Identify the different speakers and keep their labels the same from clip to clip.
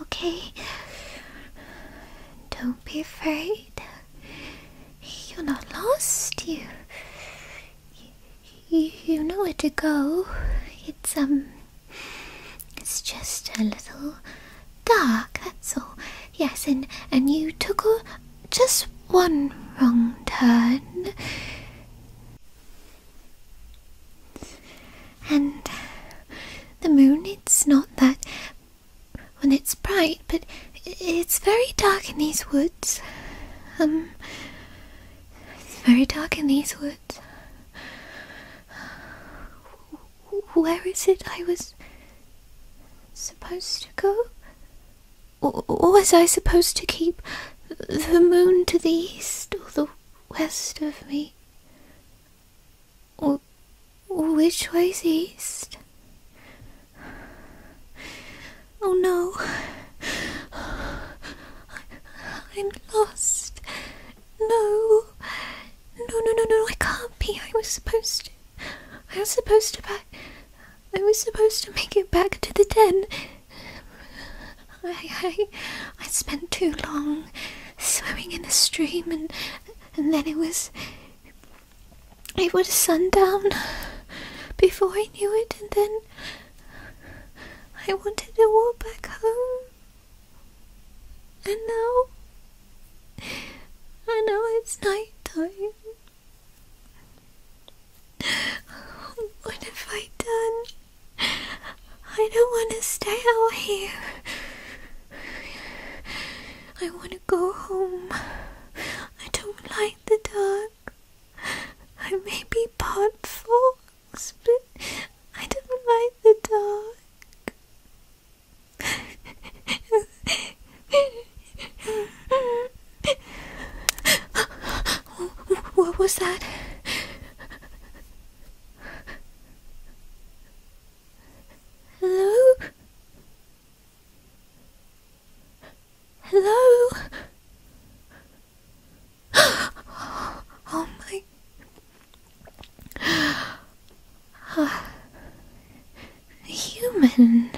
Speaker 1: Okay. Don't be afraid. You're not lost. You, you, know where to go. It's um, it's just a little dark. That's all. Yes, and and you took a, just one wrong turn. And the moon, it's not that when it's bright, but it's very dark in these woods. Um, it's very dark in these woods. Where is it I was supposed to go? Or was I supposed to keep the moon to the east or the west of me? Or, or which way's east? Oh no, I, am lost. No, no, no, no, no, I can't be. I was supposed to. I was supposed to back. I was supposed to make it back to the den. I, I, I spent too long swimming in the stream, and and then it was. It was sundown before I knew it, and then I wanted to walk back home. And now, I know it's night time. What have I done? I don't want to stay out here. I want to go home. I don't like the dark. I may be part fox, but I don't like the dark. What was that? Hello? Hello? Oh my. human.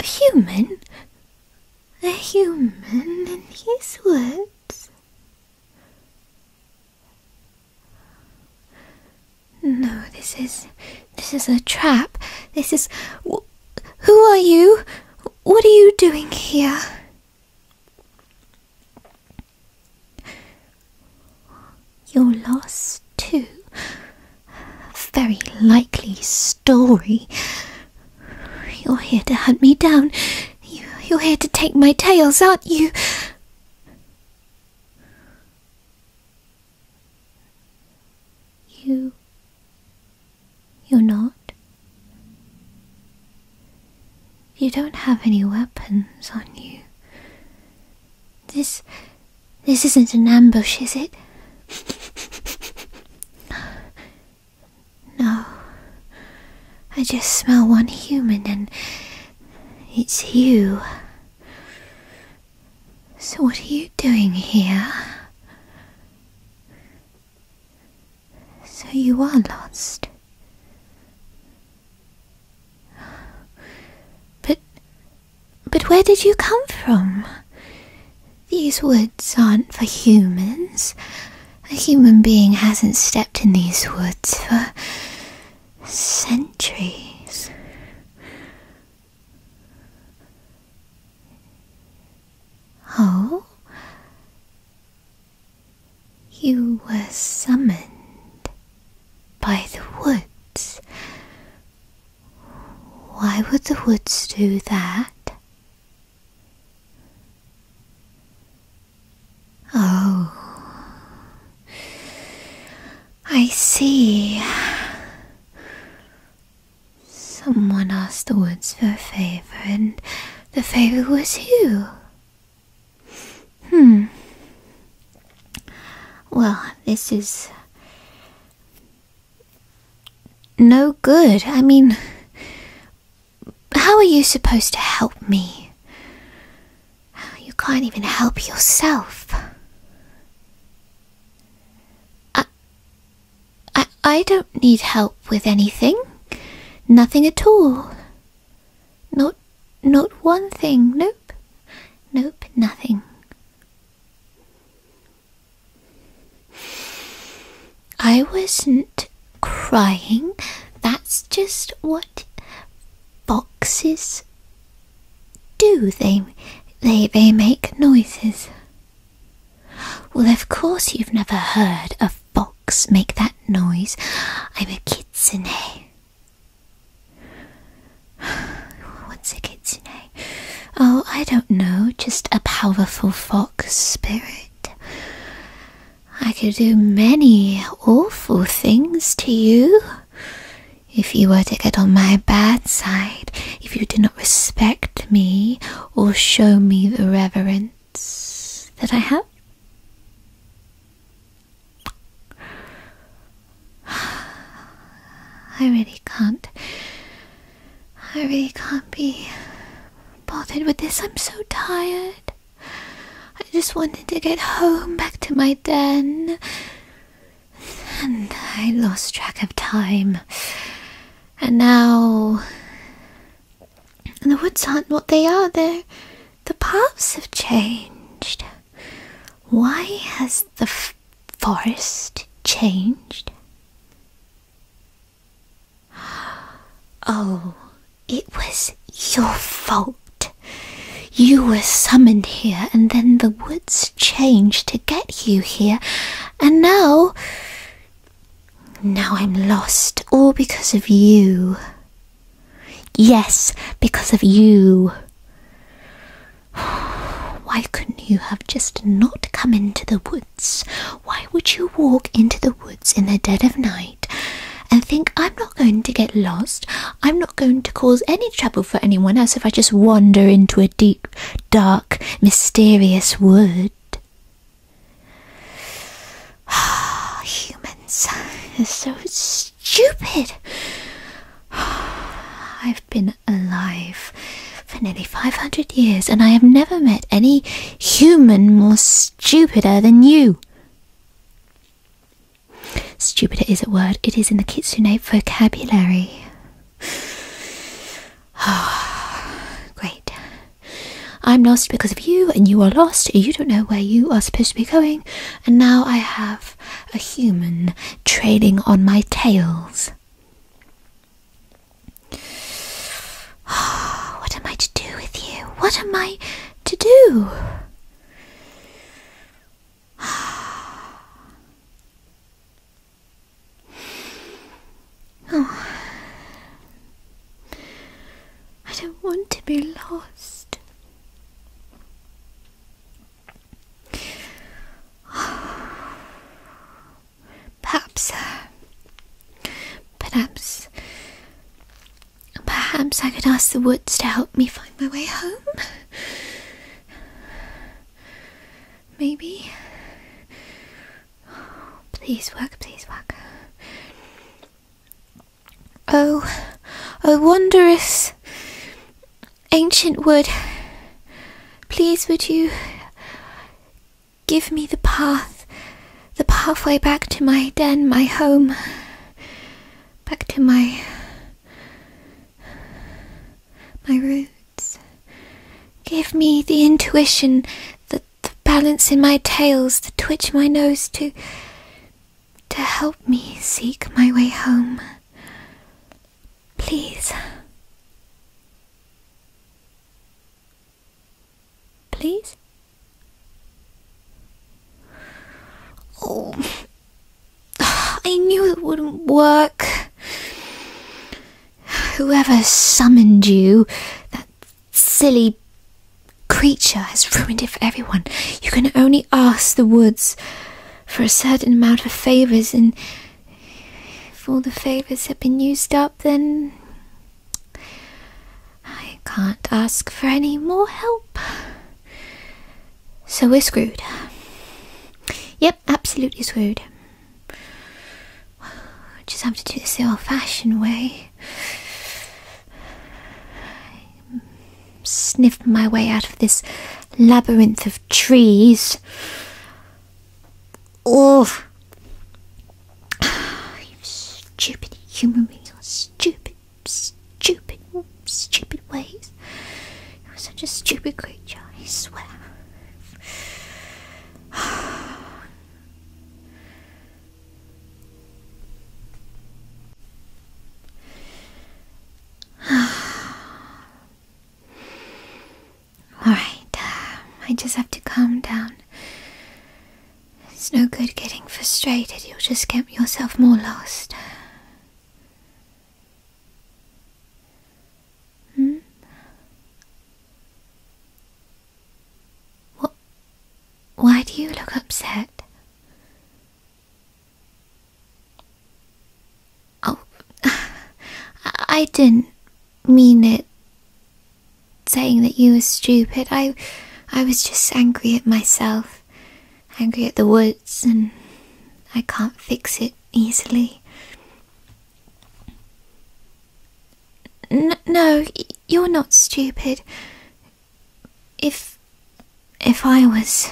Speaker 1: a human? A human in these woods? No, this is. this is a trap. This is. who are you? What are you doing here? You're lost too very likely story. You're here to hunt me down. You, are here to take my tails, aren't you? You. You're not? You don't have any weapons on you. This this isn't an ambush, is it? no. I just smell one human and it's you. So what are you doing here? So you are lost. But but where did you come from? These woods aren't for humans. A human being hasn't stepped in these woods for centuries. Oh? You were summoned by the woods. Why would the woods do that? Oh, I see. Someone asked the woods for a favor, and the favor was you. Hmm. Well, this is no good. I mean, how are you supposed to help me? You can't even help yourself. I, I, I don't need help with anything. Nothing at all. Not, not one thing. Nope. Nope, nothing. I wasn't crying. That's just what boxes do. They they they make noises. Well, of course you've never heard a box make that noise. I'm a kitsune. What's a kitsune? Oh, I don't know, just a powerful fox spirit. I could do many awful things to you if you were to get on my bad side, if you did not respect me or show me the reverence that I have. I really can't I really can't be bothered with this. I'm so tired. I just wanted to get home back to my den. And I lost track of time. And now. The woods aren't what they are. they the paths have changed. Why has the forest changed? Oh, it was your fault. You were summoned here, and then the woods changed to get you here, and now. Now I'm lost, all because of you. Yes, because of you. Why couldn't you have just not come into the woods? Why would you walk into the woods in the dead of night and think, I'm not going to get lost, I'm not going to cause any trouble for anyone else if I just wander into a deep, dark, mysterious wood? Ah, humans are so stupid. I been alive for nearly 500 years, and I have never met any human more stupider than you. Stupider is a word, it is in the Kitsune vocabulary. Great. I'm lost because of you, and you are lost. You don't know where you are supposed to be going, and now I have a human trailing on my tails. what am I to do with you? What am I to do? Oh. I don't want to be lost. Perhaps, uh, perhaps, perhaps I could ask the woods to help me find my way home. Maybe. Please work, please work. Oh, I wonder if Ancient wood, please would you give me the path, the pathway back to my den, my home, back to my. My roots. Give me the intuition, the, the balance in my tails, the twitch my nose to. to help me seek my way home. Please. Please? Oh. I knew it wouldn't work. Whoever summoned you, that silly creature, has ruined it for everyone. You can only ask the woods for a certain amount of favors, and if all the favors have been used up, then I can't ask for any more help. So we're screwed. Yep, absolutely screwed. Just have to do this the old fashioned way. Sniff my way out of this labyrinth of trees. Oh, you stupid human beings, your stupid, stupid, stupid ways. You're such a stupid creature, I swear. Alright, um, I just have to calm down. It's no good getting frustrated, you'll just get yourself more lost. Hmm? What? Why do you look upset? Oh, I didn't mean it saying that you were stupid. I I was just angry at myself, angry at the woods, and I can't fix it easily. no, you're not stupid. If if I was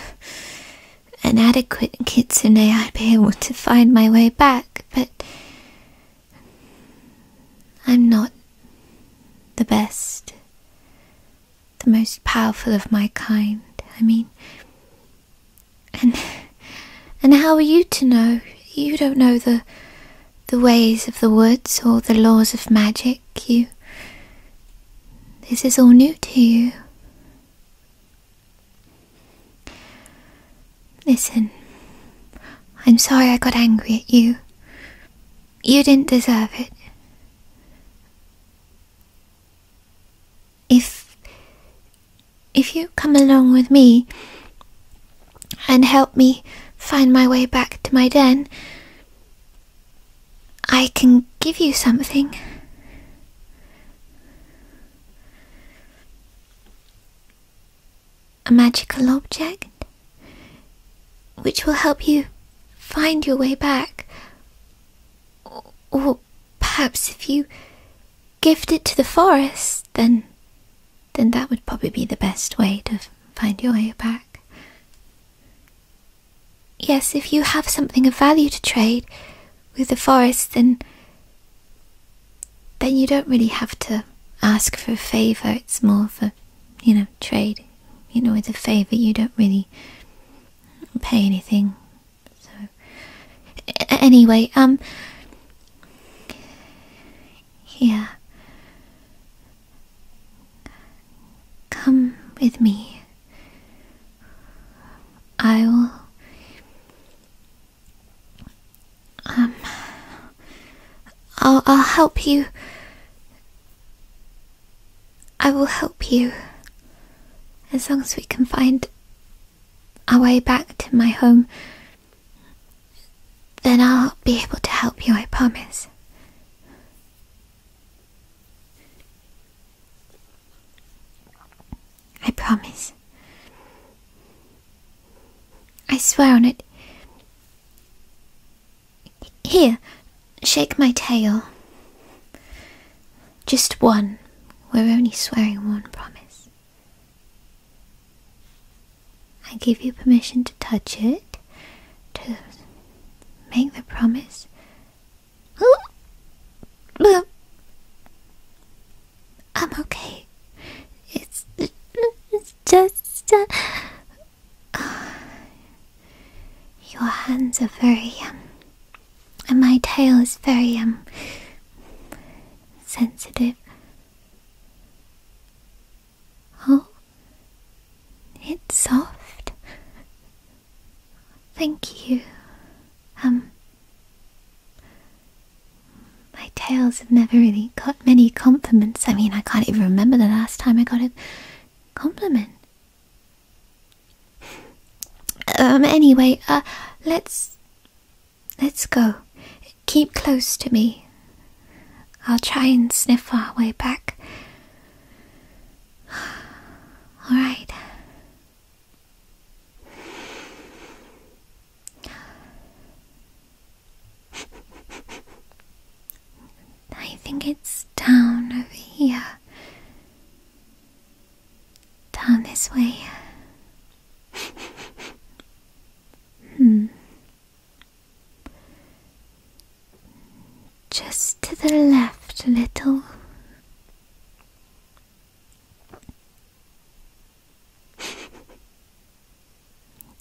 Speaker 1: an adequate kitsune, I'd be able to find my way back, but I'm not the best, the most powerful of my kind, I mean. And and how are you to know? You don't know the the ways of the woods or the laws of magic. You this is all new to you. Listen, I'm sorry I got angry at you. You didn't deserve it. If. if you come along with me and help me find my way back to my den, I can give you something. A magical object? Which will help you find your way back. Or, perhaps if you gift it to the forest, then. Then that would probably be the best way to find your way back. Yes, if you have something of value to trade with the forest, then. Then you don't really have to ask for a favour, it's more for, you know, trade. You know, with a favour, you don't really pay anything. So, anyway, um, yeah. Come with me. I will. Um. I'll, I'll help you. I will help you. As long as we can find our way back to my home, then I'll be able to help you, I promise. I promise. I swear on it. Here, shake my tail. Just one. We're only swearing one promise. I give you permission to touch it, to make the promise, I'm okay. It's, it's just. Uh, your hands are very. Um, and my tail is very. um. sensitive. Oh, it's soft. Thank you. Um, my tales have never really got many compliments. I mean, I can't even remember the last time I got a compliment. Um, anyway, uh, let's, let's go. Keep close to me. I'll try and sniff our way back. Alright. I think it's down over here. Down this way. hmm. Just to the left a little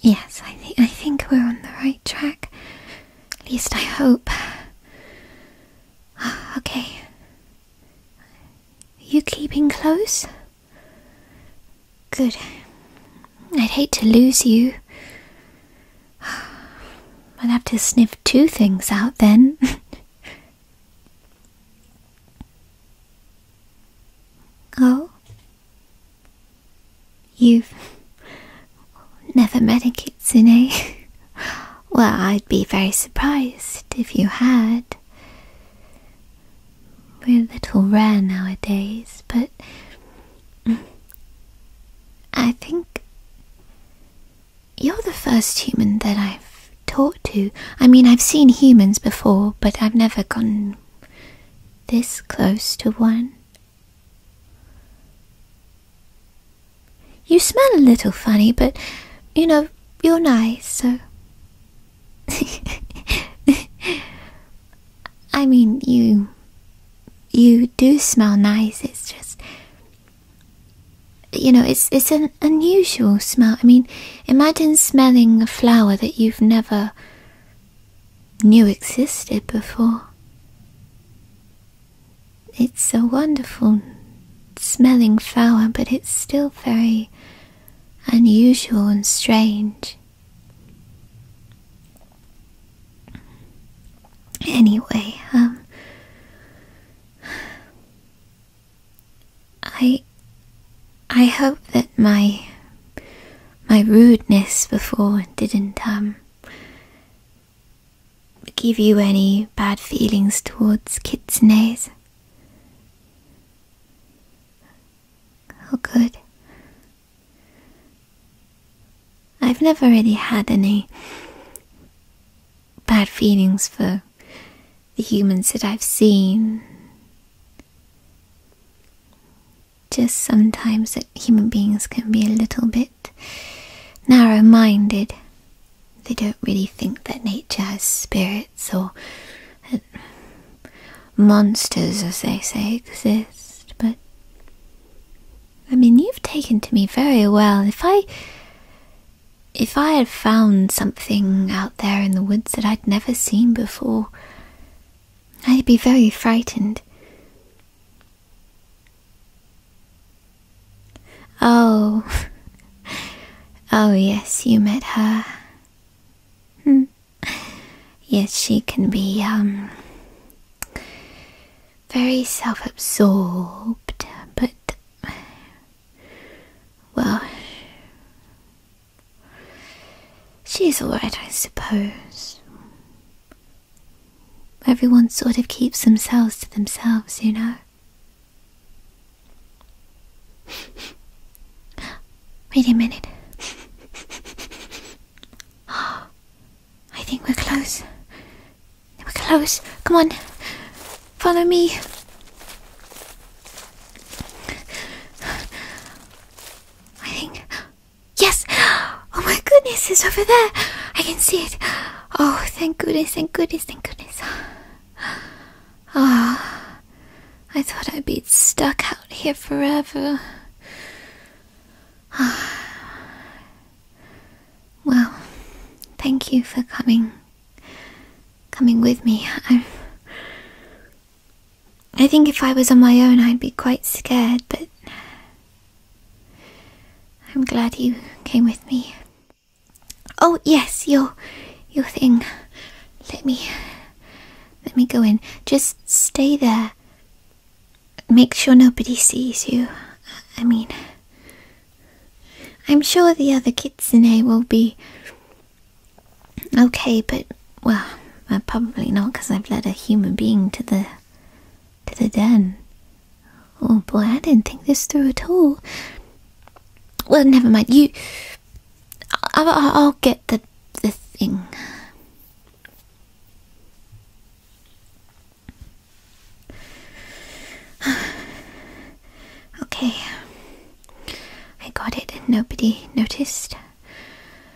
Speaker 1: yes, I think I think we're on the right track. At least I hope. okay. You keeping close? Good. I'd hate to lose you. I'd have to sniff two things out then. oh? You've never met a kitsune? well, I'd be very surprised if you had. We're a little rare nowadays, but mm, I think you're the first human that I've talked to. I mean, I've seen humans before, but I've never gone this close to one. You smell a little funny, but you know, you're nice, so. I mean, you. You do smell nice, it's just you know, it's it's an unusual smell. I mean, imagine smelling a flower that you've never knew existed before. It's a wonderful smelling flower, but it's still very unusual and strange. Anyway, um I I hope that my my rudeness before didn't um give you any bad feelings towards kitsunes. Oh good. I've never really had any bad feelings for the humans that I've seen. Just sometimes that human beings can be a little bit narrow minded. They don't really think that nature has spirits or monsters, as they say, exist, but I mean, you've taken to me very well. If I. If I had found something out there in the woods that I'd never seen before, I'd be very frightened. Oh, oh, yes, you met her. Hmm. Yes, she can be, um, very self absorbed, but. Well. She's alright, I suppose. Everyone sort of keeps themselves to themselves, you know? Wait a minute. I think we're close. We're close. Come on. Follow me. I think. Yes! Oh my goodness, it's over there! I can see it. Oh, thank goodness, thank goodness, thank goodness. Ah, oh, I thought I'd be stuck out here forever. Ah. Well, thank you for coming. Coming with me. I, I think if I was on my own, I'd be quite scared, but I'm glad you came with me. Oh yes, your your thing. Let me let me go in. Just stay there. Make sure nobody sees you. I mean, I'm sure the other kids in here will be okay, but well, uh, probably not because I've led a human being to the to the den. Oh boy, I didn't think this through at all. Well, never mind. You, I'll, I'll get the the thing. okay. I got it and nobody noticed.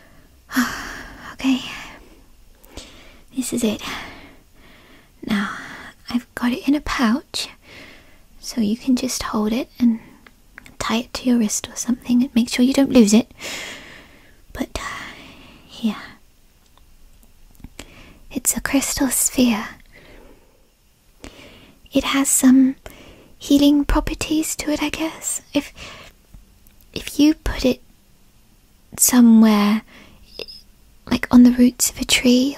Speaker 1: okay. This is it. Now, I've got it in a pouch, so you can just hold it and tie it to your wrist or something and make sure you don't lose it. But, uh, here, it's a crystal sphere. It has some healing properties to it, I guess. If if you put it somewhere like on the roots of a tree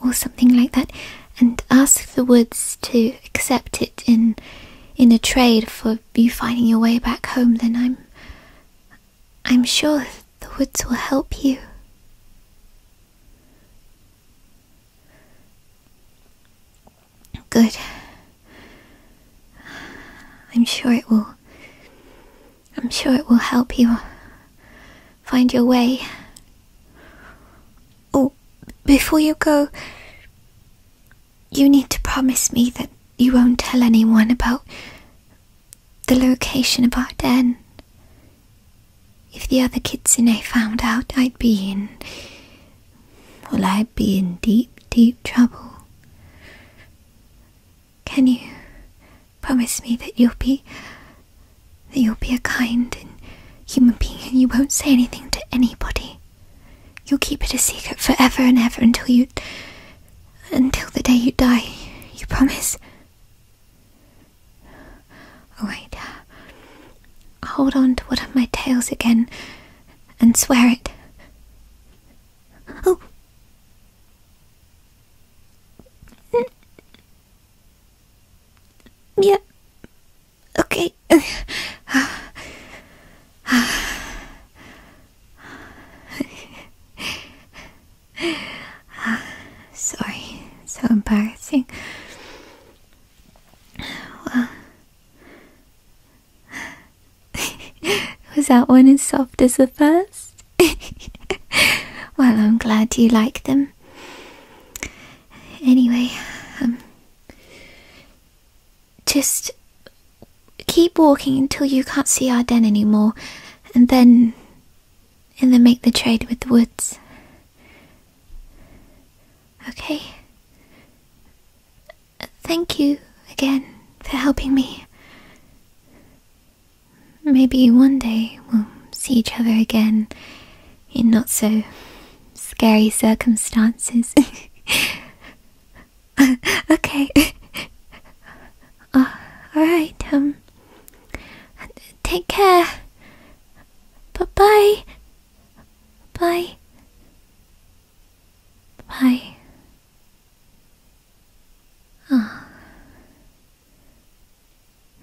Speaker 1: or, something like that and ask the woods to accept it in in a trade for you finding your way back home, then I'm I'm sure the woods will help you. Good. I'm sure it will. I'm sure it will help you find your way. Oh, before you go, you need to promise me that you won't tell anyone about the location of our den. If the other kids in there found out, I'd be in. Well, I'd be in deep, deep trouble. Can you promise me that you'll be. that you'll be a kind and human being and you won't say anything to anybody? You'll keep it a secret forever and ever until you. Until the day you die, you promise? Oh, Alright. Uh, hold on to one of my tails again and swear it. Oh! Yeah. Okay. Sorry, so embarrassing. was that one as soft as the first? well, I'm glad you like them. Anyway, um, just Keep walking until you can't see our den anymore, and then. and then make the trade with the woods. Okay? Thank you again for helping me. Maybe one day we'll see each other again in not so scary circumstances. okay. Uh, alright, um. Take care. Bye bye. Bye. Bye. Oh. Ah.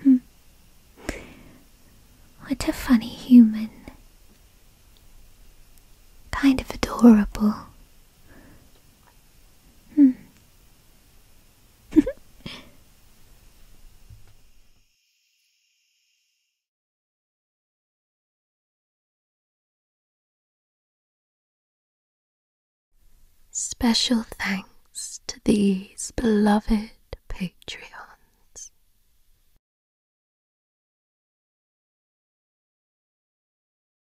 Speaker 1: Hmm. What a funny human. Kind of adorable. Hmm. Special thanks to these beloved patrons.